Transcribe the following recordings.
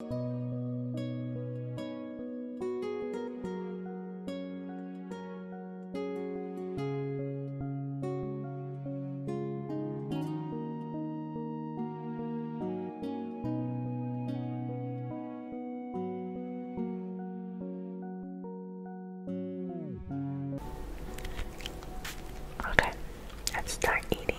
Okay, let's start eating.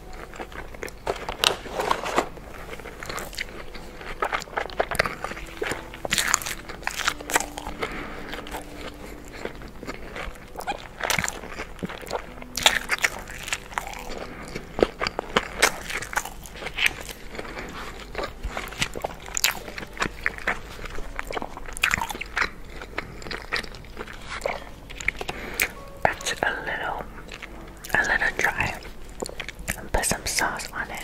It's a little a little dry and put some sauce on it.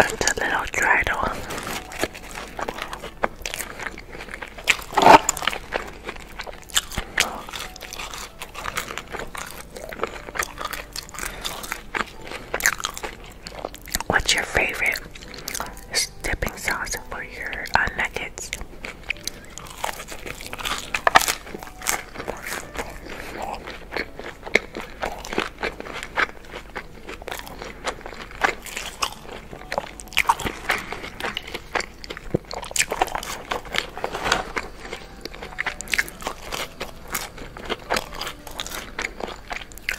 It's a little dry though. What's your favorite dipping sauce for your uh, nuggets?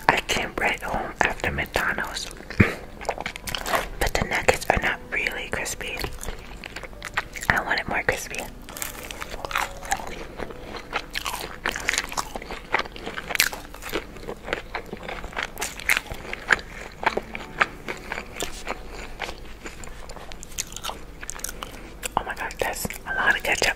I came right home after McDonald's, but the nuggets are not really crispy. I wanted more crispy. Oh my god, that's a lot of ketchup.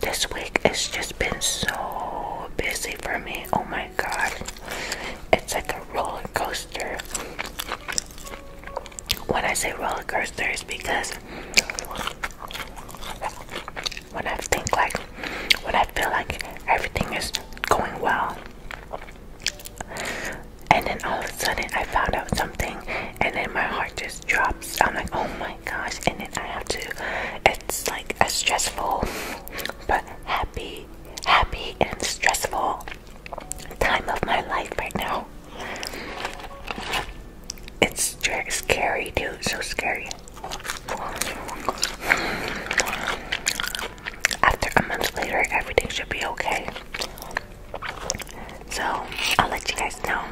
This week it's just been so busy for me. Oh my god. It's like a roller coaster. When I say roller coaster, it's because when I think like when I feel like everything is going well and then all of a sudden I found out something and then my heart just drops. I'm like, oh my gosh, and then I have to it's like a stressful but happy happy and stressful time of my life right now. It's just scary, dude. So scary. After a month later, everything should be okay. So, I'll let you guys know.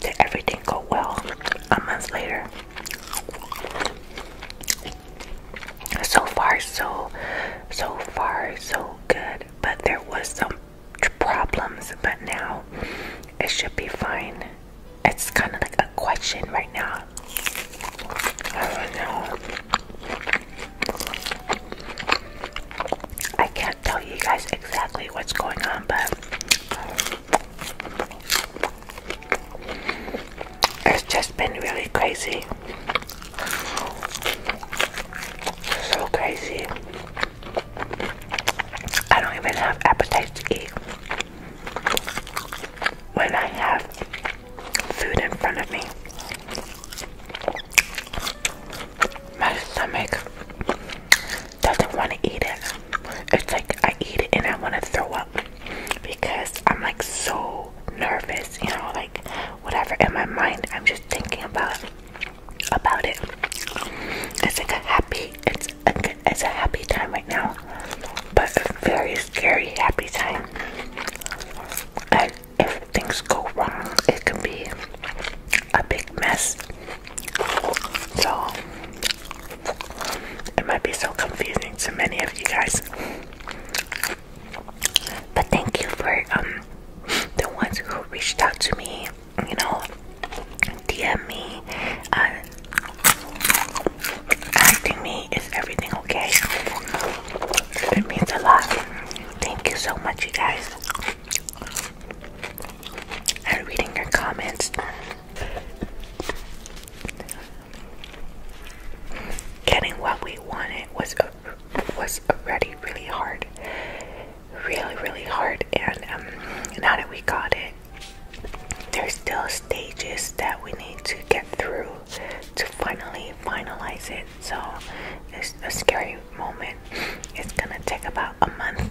Did everything go well a month later? So far, so, so far, so good. But there was some problems, but now it should be fine. It's kind of like a question right now. I can't tell you guys exactly what's going on, but it's just been really crazy. So crazy. I don't even have appetite to eat. When I have food in front of me, my stomach doesn't want to eat it. It's like I eat it and I want to throw up because I'm like so nervous, you know, like whatever in my mind, I'm just thinking about about it. It's like a happy, it's a, happy time right now, but a very scary happy time. And if things go wrong, it could be a big mess. So it might be so confusing to many of you guys. But thank you for um, the ones who reached out to me, you know, DM me, uh, asking me is everything okay? It means a lot. Thank you so much, you guys. And reading your comments. Getting what we wanted was was already really hard, really, really hard. And um, now that we got it, there's still stages that we need to get through to finally finalize it. So it's a scary moment. It's gonna take about a month.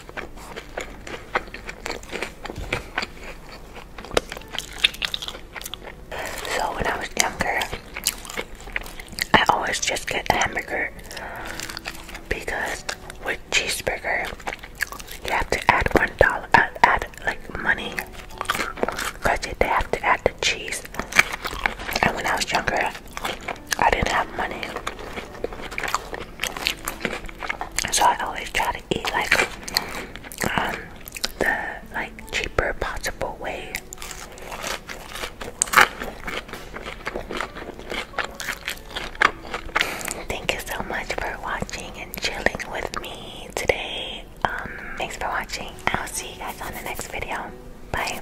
So when I was younger, I always just get a hamburger because with cheeseburger you have to add one dollar, add, like money because they have to add the cheese. And when I was younger, I didn't have money. So I always try to eat like um, the like cheaper possible way. Thank you so much for watching and chilling with me today. Um, thanks for watching. I'll see you guys on the next video. Bye.